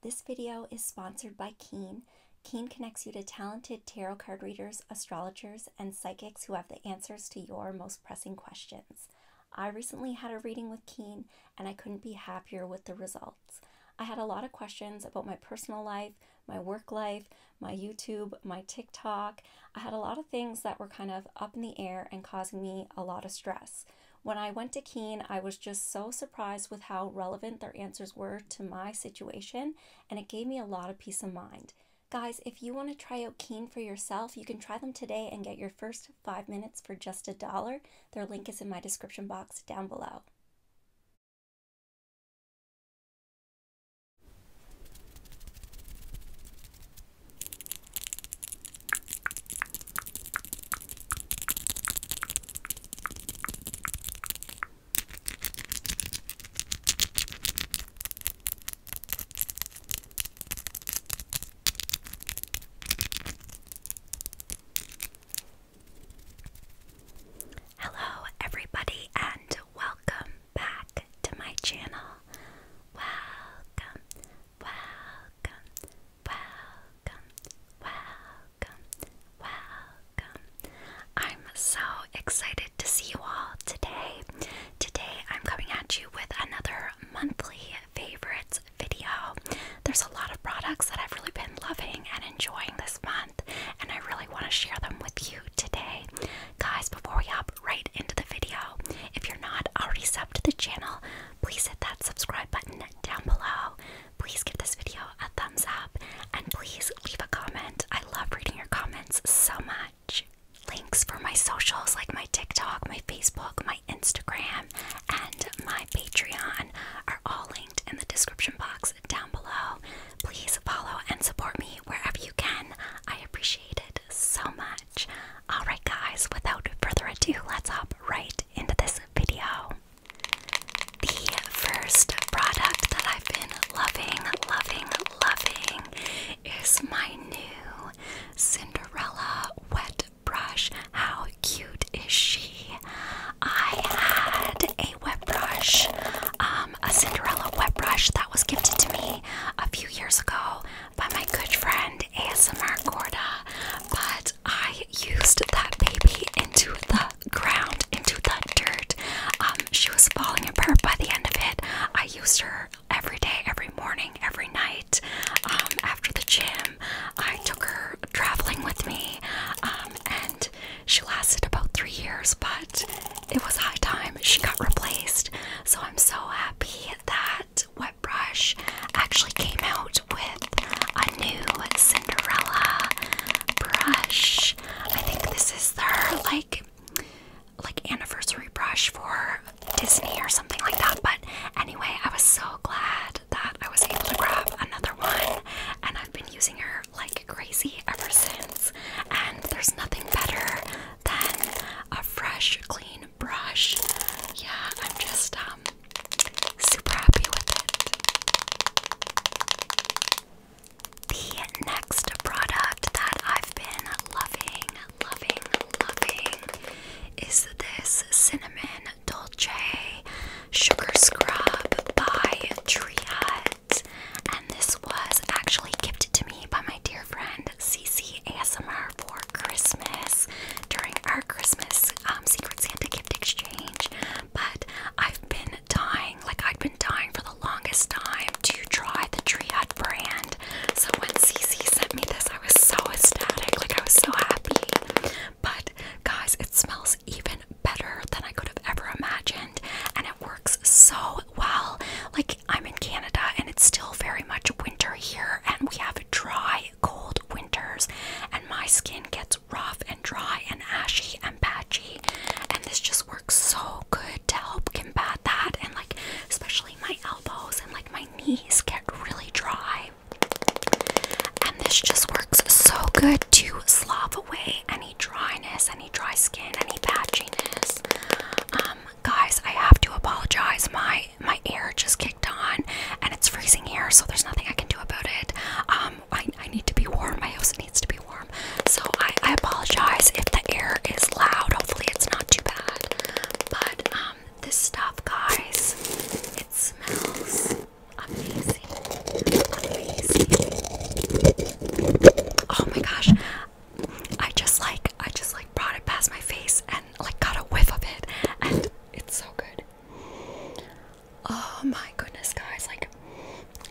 This video is sponsored by Keen. Keen connects you to talented tarot card readers, astrologers, and psychics who have the answers to your most pressing questions. I recently had a reading with Keen, and I couldn't be happier with the results. I had a lot of questions about my personal life, my work life, my YouTube, my TikTok. I had a lot of things that were kind of up in the air and causing me a lot of stress. When I went to Keen, I was just so surprised with how relevant their answers were to my situation, and it gave me a lot of peace of mind. Guys, if you want to try out Keen for yourself, you can try them today and get your first five minutes for just a dollar. Their link is in my description box down below. Hello, everybody, and welcome back to my channel. Welcome, welcome, welcome, welcome, welcome. I'm so excited to see you all today. Today I'm coming at you with another monthly favorites video. There's a lot of products that I've really been loving and enjoying this month, and I really want to share them with you today. Guys, before we hop right into the video, if you're not already subbed to the channel, please hit that subscribe button down below. Please give this video a thumbs up and please leave a comment. I love reading your comments so much. Links for my socials like my TikTok, my Facebook, my Instagram, and my Patreon are all linked in the description box down below. Please follow and support me wherever you can. I appreciate it so much. Alright, guys, without further ado, let's hop right into this video. The first product that I've been loving, loving, loving is my new Cinderella Wet Brush. How cute is she? I had a wet brush um, a Cinderella wet brush that was gifted to me a few years ago by my good friend ASMR Gorda. But I used that baby into the ground, into the dirt. Um, she was falling apart by the end of it. I used her every day, every morning, every night. Um, after the gym, I took her traveling with me, and she lasted about three years. But it was high time she got replaced. So I'm so happy that Wet Brush actually came out with a new Cinderella brush. I think this is their like like anniversary brush for Disney or something like that. But anyway, I was so glad that I was able to grab another one and I've been using her like crazy ever since. And there's nothing better then a fresh, clean brush. Yeah, I'm just um super happy with it. The next product that I've been loving, loving, loving is this cinnamon dolce sugar scrub by Tria. And this was actually gifted to me by my dear friend CC ASMR for Christmas during our Christmas um, Secret Santa gift exchange. But I've been dying, like I've been dying for the longest time to try the Tree Hut brand. So when CC sent me this, I was so ecstatic, like I was so happy. But guys, it smells even better than I could have ever imagined, and it works so well, like I'm in Canada and it's still very much winter here and we have dry, cold winters and my skin gets rough and dry and ashy and patchy and this just works so good to help combat that and like especially my elbows and like my knees get really dry. And this just works so good to slough away any dryness, any dry skin, any patchiness. Um, guys, I have to apologize. My my air just kicked on, and it's freezing here, so there's nothing I can do about it. Um, I I need to be warm. My house needs to be warm, so I I apologize if the air is loud. Hopefully, it's not too bad. But um, this stuff, guys, it smells amazing, amazing. Oh my gosh, I just like I just like brought it past my face and like got a whiff of it and it's so good. Oh my goodness guys, like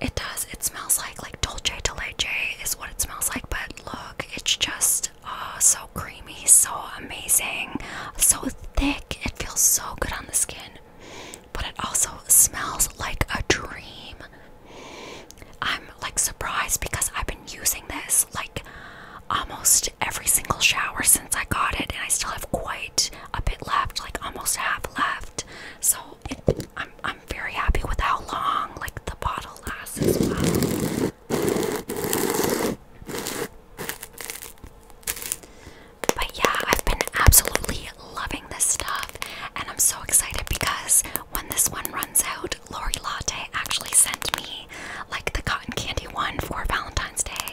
it does. It smells like like dolce de leche is what it smells like, but look, it's just oh so creamy, so amazing, so thick. It feels so good on the skin. But it also smells like a dream. I'm like surprised because I've been using this like almost every single shower since I got it, and I still have quite a bit left, like almost half left. So it, I'm I'm very happy with how long like the bottle lasts as well. But yeah, I've been absolutely loving this stuff, and I'm so excited because when this one runs out, Lori Latte actually sent me like the cotton candy one for Valentine's Day.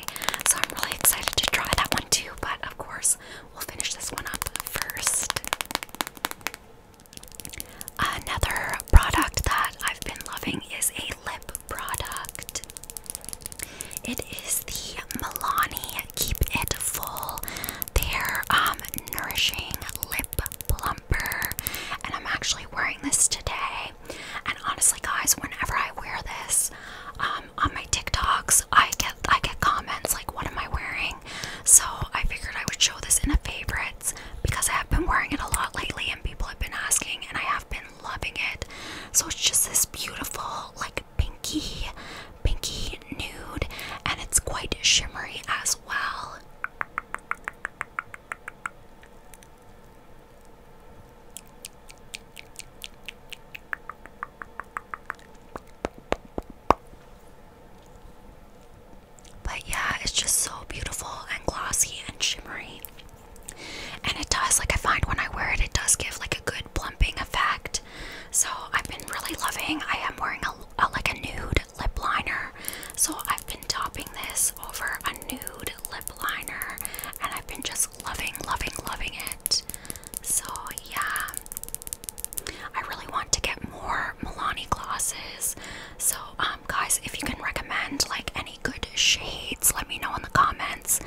So I'm really excited to try that one too, but of course, we'll finish this one up first. Another product that I've been loving is a lip product. It is the Milani Keep It Full their um, nourishing lip plumper, and I'm actually wearing this today. And honestly, guys, whenever I wear this um, on my TikToks, I get I get comments like, "What am I wearing?" So I figured I would show this in a favorites because I have been wearing it a lot lately, and people have been asking, and I have been loving it. So it's just this beautiful, like pinky, pinky nude, and it's quite shimmery as well. But yeah, it's just so beautiful and glossy and shimmery. And it does, like, I find when I wear it, it does give like a good plumping effect. So I've been really loving. I am wearing a, a like a nude lip liner. So I've been topping this over a nude lip liner and I've been just loving, loving, loving it. So yeah. I really want to get more Milani glosses. So um guys, if you can recommend like any good shades, let me know in the comments.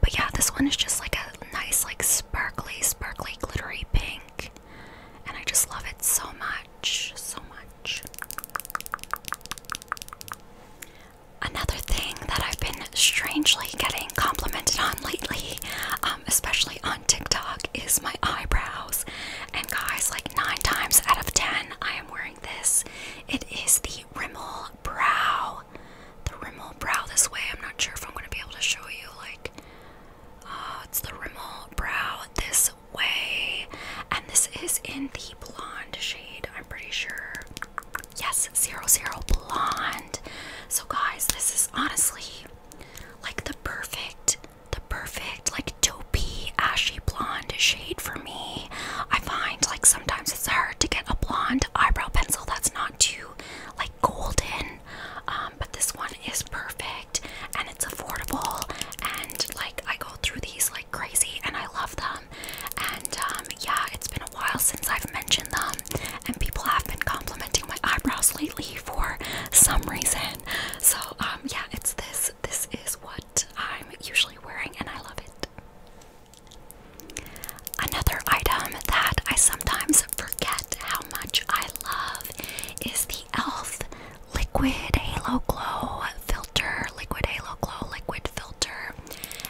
But yeah, this one is just like a nice like sparkly, sparkly glittery pink. And I just love it so much, so much. Another thing that I've been strangely getting complimented on lately, um, especially on TikTok, is my eyebrows. And guys, like nine times out of ten, I am wearing this. It is the Rimmel Brow. The Rimmel Brow this way. I'm not sure if I'm going to be able to show you. Like, uh, it's the Rimmel Brow this way. And this is in the blonde shade, I'm pretty sure. Yes, zero zero blonde. So guys, this is honestly like the perfect, the perfect, like dopey, ashy blonde shade for me. I find like sometimes it's hard to get a blonde eyebrow pencil that's not too like golden. Um, but this one is perfect and it's affordable and like I go through these like crazy and I love them and um, yeah it's been a while since I've mentioned them and people have been complimenting my eyebrows lately for some reason so um, yeah it's this this is what I'm usually wearing and I love it Another item that I sometimes forget how much I love is the e.l.f liquid halo glow filter, liquid halo glow, liquid filter,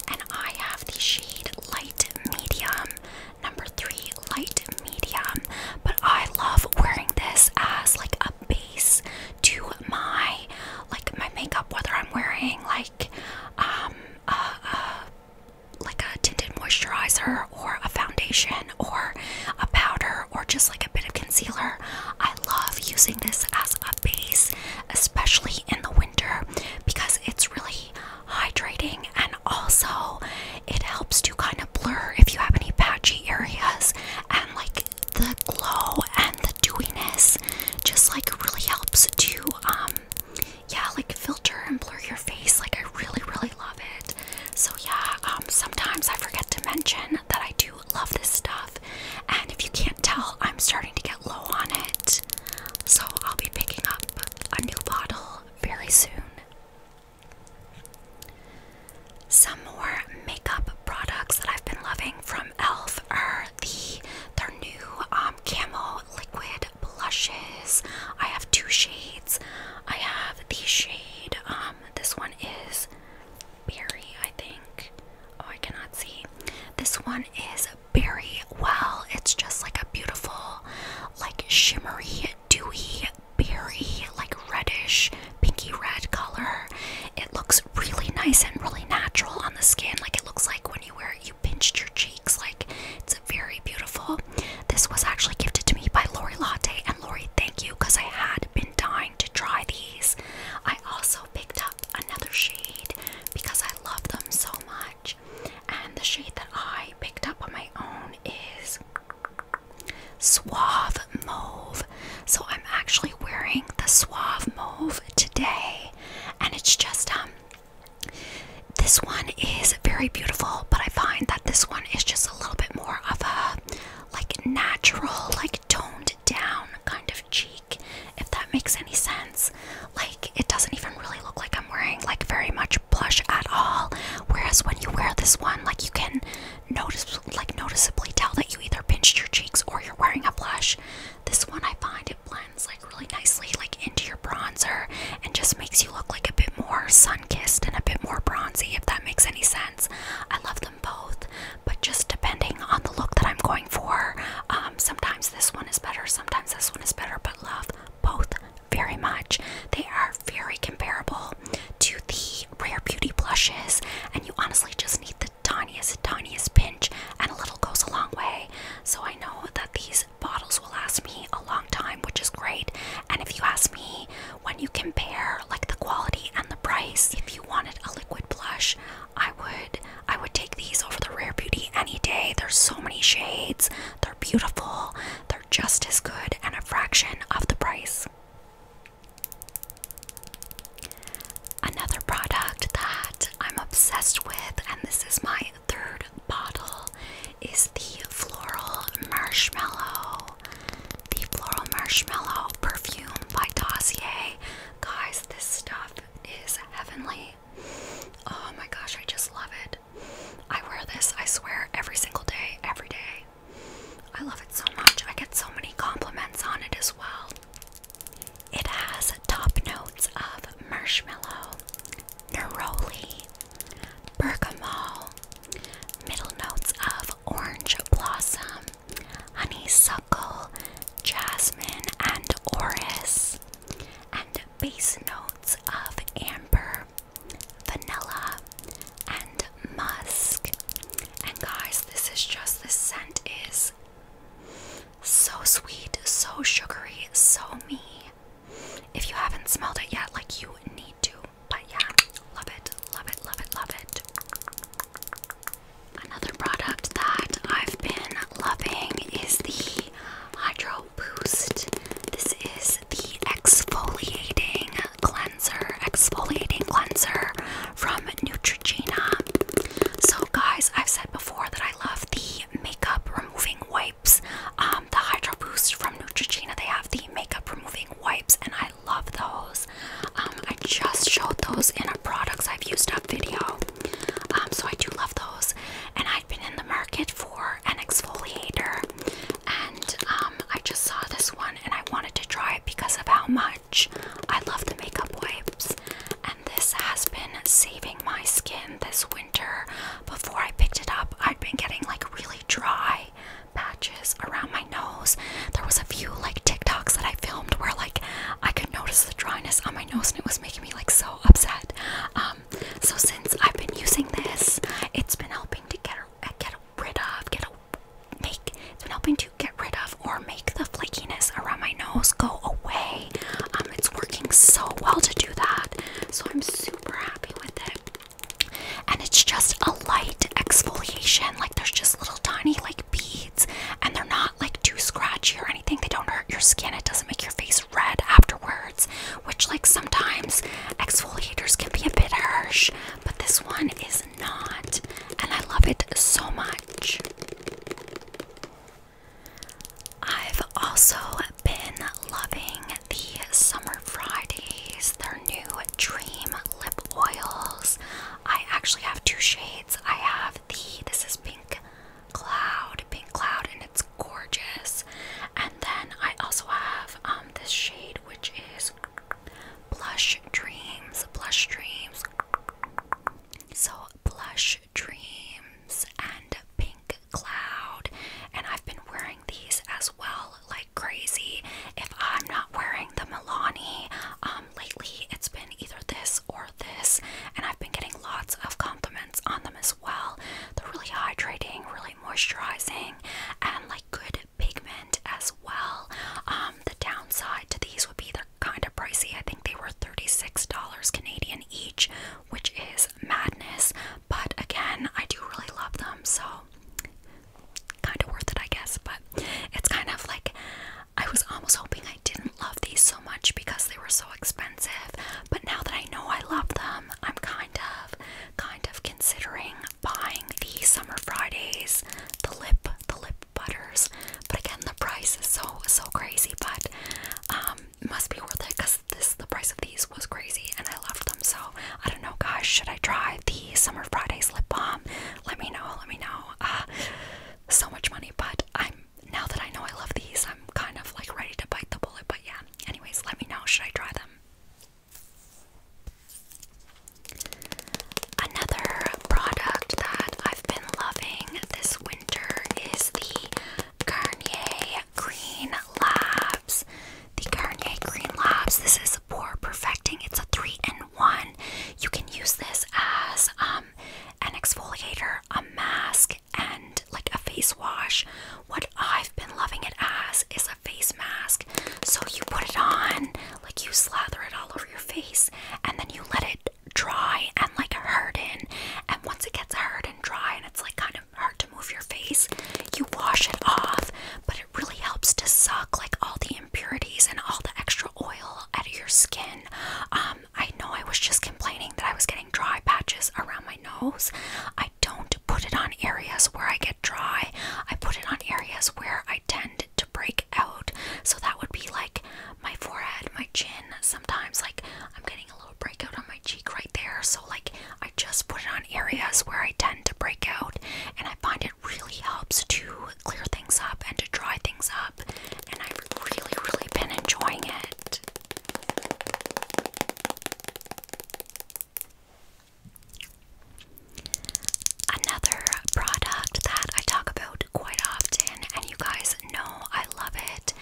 and I have the shade light medium, number three, light medium. But I love wearing this as like a base to my like my makeup, whether I'm wearing like um uh, like a tinted moisturizer or a foundation or a powder or just like a bit of concealer. I love using this as a base, especially in the winter, because it's really hydrating and also it helps to kind of blur if you have any patchy areas and like the glow and the dewiness just like really helps to um yeah like filter and blur your face like I really really love it. So yeah, um, sometimes I forget to mention that I do love this stuff. And if you can't tell, I'm starting to get low on it. So I'll be picking up a new bottle very soon. Some more makeup products that I've been loving from e.l.f. are the their new um, camo liquid blushes. I have two shades. I have the shade um, um, this one is berry, I think. Oh, I cannot see. This one is berry. Well, it's just like a beautiful, like shimmery, dewy, berry, like reddish, pinky red color. It looks really nice and really natural on the skin. Like it looks like when you wear it, you pinched your cheeks. Like it's very beautiful. This was actually gifted to me by Lori Latte, and Lori, thank you, because I had been dying to try these. I also picked up another shade because I love them so much. And the shade that I picked up on my own is Suave Mauve. So I'm actually wearing the Suave Mauve today, and it's just um this one is very beautiful, but I find that this one is just a little bit more of a like natural, like toned down kind of cheek, if that makes any sense. Like it doesn't even really look like I'm wearing like very much blush at all. Whereas when you wear this one, like you can notice like noticeably tell that you either pinched your cheeks or you're wearing a blush. This one I find it blends like really nicely like into your bronzer and just makes you look like a bit more sun-kissed and a bit more bronzy if that makes any sense. I love them both, but just depending on the look that I'm going for, um, sometimes this one is better, sometimes this one is better, but love both very much. They are very comparable to the Rare Beauty blushes, and you honestly just need the tiniest, tiniest pinch, and a little goes a long way. So I know that these bottles will last me a long time, which is great. And if you ask me when you compare like the quality and the price if you wanted a liquid blush i would i would take these over the rare beauty any day there's so many shades they're beautiful they're just as good and a fraction of the price another product that i'm obsessed with and this is my third bottle is the floral marshmallow the Floral Marshmallow Perfume by Dossier. Guys, this stuff is heavenly. Oh my gosh, I just love it. I wear this, I swear, every single day, every day. I love it so much. I get so many compliments on it as well. It has top notes of marshmallow, neroli, bergamot, middle notes of orange blossom, honeysuckle, jasmine, and orris, and base notes of amber, vanilla, and musk. And guys, this is just the scent is so sweet, so sugary, so me. If you haven't smelled it yet, like you need to. But yeah, love it, love it, love it, love it. Another product that I've been loving is the Hydro Boost. This is the exfoliating cleanser, exfoliating cleanser from Neutrogena. So, guys, I've said before that I love the makeup removing wipes. Um, the Hydro Boost from Neutrogena, they have the makeup removing wipes, and I love those. Um, I just showed those in a products I've used up video. Um, so I do love those. And I've been in the market for an exfoliator, and um, I just saw this one and I wanted to try it because of how much I love the makeup wipes. And this has been saving my skin this winter. Before I picked it up, I'd been getting like really dry patches around my nose. There was a few like TikToks that I filmed where like I could notice the dryness on my nose and it was making me like so upset. Um, so since I've been using this, it's been helping to get get rid of get a, make it's been helping to get rid of or make the flakiness around my nose go away. Um, it's working so well to do that, so I'm super happy with it and it's just a light exfoliation. Like there's just little tiny like beads, and they're not like too scratchy or anything. They don't hurt your skin. It doesn't make your face red afterwards, which like sometimes exfoliators can be a bit harsh, but this one is not, and I love it so much. I've also been loving the Summer Fridays, They're new Dream Lip Oils. I actually have two shades. I have the, this is Pink Cloud, Pink Cloud, and it's gorgeous. And then I also have um, this shade, which is Blush Dreams, Blush Dreams. So, Blush Dreams and Pink Cloud. And I've been wearing these as well like crazy if I'm not wearing the Milani. Um, lately it's been either this or this, and I've been getting lots of compliments on them as well. They're really hydrating, really moisturizing, and like good pigment as well. Um, the downside to these would be they're kind of pricey. I think they were $36 Canadian each, which is madness. But again, I do really love them, so kind of worth it, I guess. But it's kind of like I was almost hoping I didn't love these so much because they were so expensive. But now that I know I love them, I'm kind of, kind of considering buying the Summer Fridays, the lip, the lip butters. But again, the price is so, so crazy. But um, must be worth it because this, the price of these was crazy, and I loved them so. I don't know, guys. Should I try the Summer Fridays lip balm? Let me know. Let me know. Ah, so much money, but I'm now that I know I love these, I'm kind of like ready to bite the bullet. But yeah, anyways, let me know. Should I try them? Another product that I've been loving this winter is the Garnier Green Labs the Garnier Green Labs. This is a pore perfecting. It's a three in one. You can use this as um, an exfoliator, a mask, and like a face wash. What I've been loving it as is a face mask. So you put it on, like you slather it all over your face, and then you let it dry and like harden. And once it gets hard and dry, and it's like kind of hard to move your face, you wash it off. But it really helps to suck like all the impurities and all the extra oil out of your skin. Um, I know I was just complaining that I was getting dry patches around my nose. I don't put it on areas where I get dry, I put it on areas where I tend to break out. So that would be like my forehead, my chin. Sometimes, like, I'm getting a little breakout on my cheek right there. So, like, I just put it on areas where I tend to break out, and I find it really helps to clear things up and to dry things up, and I've really, really been enjoying it. Another product that I talk about quite often, and you guys know I love it,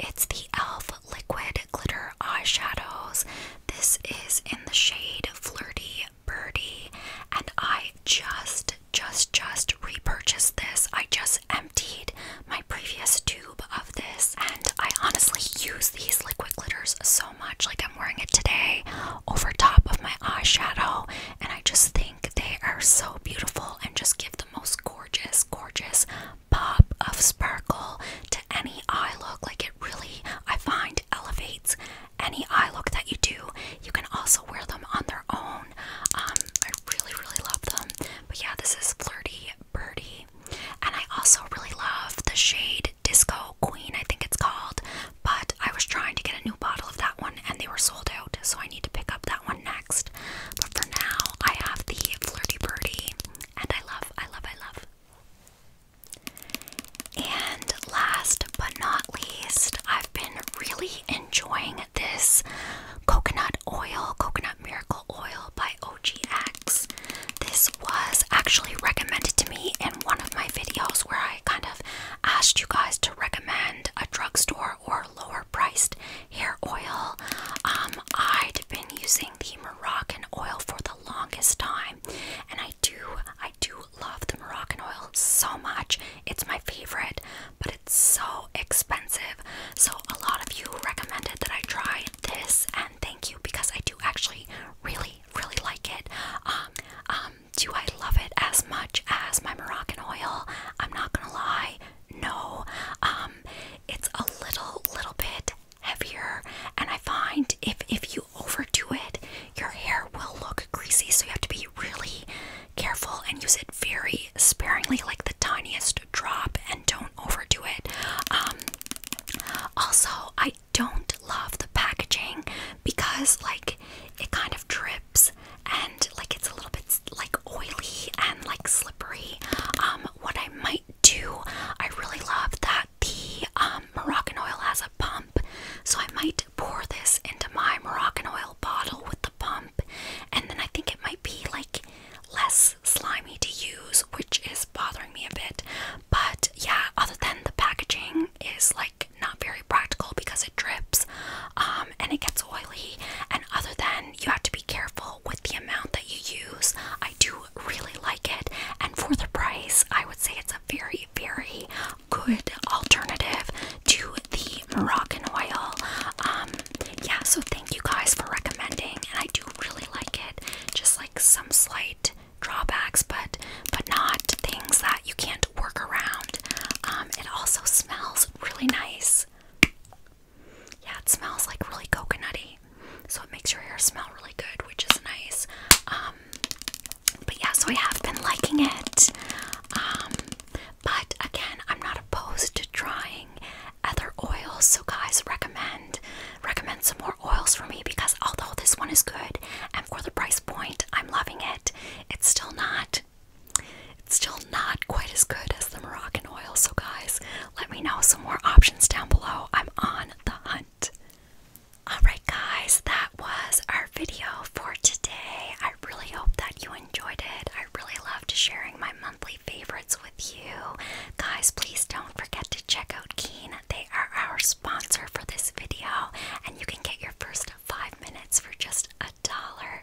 it's the e.l.f. Liquid Glitter Eyeshadows. This is in the shade Flirty Birdie, and I just, just, just repurchased this. I just emptied my previous tube of this, and I honestly use these liquid glitters so much. Like, I'm wearing it today over top of my eyeshadow, and I just think they are so beautiful and just give the most gorgeous, gorgeous pop of sparkle to any eye look. Like, it really, I find elevates any eye look that you do. You can also wear them on their own. Um, I really, really love them. But yeah, this is Flirty Birdie. And I also really love the shade Disco Queen, I think it's called. But I was trying to get a new bottle of that one and they were sold out, so I need to pick up that one next. But for now, I have the Flirty Birdie and I love, I love, I love. And last but not least, I've been really enjoying this coconut oil, coconut miracle oil by OGX. This was actually recommended to me in one of my videos where I kind of asked you guys to recommend a drugstore or lower priced hair oil. Um, I'd been using the Moroccan oil for the longest time, and I do I do love the Moroccan oil so much. It's my favorite, but it's so expensive. So a lot of you recommended that I try this and thank you because I do actually really really like it. Um um do I love it as much as my Moroccan oil? I'm not going to lie. No. Um it's a little little bit heavier and I find if if you overdo it, your hair will look greasy, so you have to be really careful and use it very sparingly, like the tiniest drop, and don't overdo it. Um, also, I don't love the packaging because, like, it kind of drips and, like, it's a little bit like oily and like slippery. Um, what I might do, I really love that the um, Moroccan oil has a pump so I might pour this into my Moroccan oil bottle with the pump, and then I think it might be like less slimy to use, which is bothering me a bit. But yeah, other than the packaging is like not very practical because it drips um, and it gets oily, and other than you have to be careful with the amount that you use, I do really like it, and for the price, I would say it's a very, very good alternative to the Moroccan oil. Um, yeah, so thank you guys for recommending, and I do really like it. Just like some slight drawbacks, but but not things that you can't work around. Um, it also smells really nice. Yeah, it smells like really coconutty, so it makes your hair smell really good, which is nice. Um, but yeah, so I have been liking it. Um, but again, I'm not opposed to trying other oils. So guys, recommend recommend some more oils for me because although this one is good and for the price point, I'm loving it. It's still not it's still not quite as good as the Moroccan oil. So guys, let me know some more options down below. I'm on the hunt. Alright, guys, that was our video for today. I really hope that you enjoyed it. I really loved sharing my monthly favorites with you. Guys, please don't forget to check out Keen. They are our sponsor for this video, and you can get your first five minutes for just a dollar.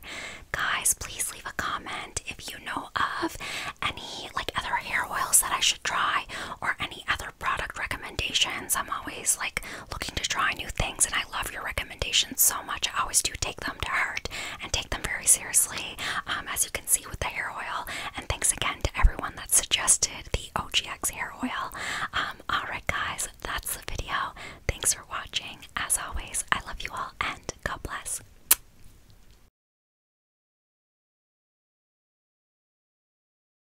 Guys, please leave a comment if you know of any like other hair oils that I should try or any other product recommendations. I'm always like looking to try new things, and I love your recommendations so much. I always do take them to heart and take them very seriously, um, as you can see with the hair oil. And thanks again to everyone that suggested the OGX hair oil. Um, alright, guys, that's the video. Thanks for watching. As always, I love you all, and God bless.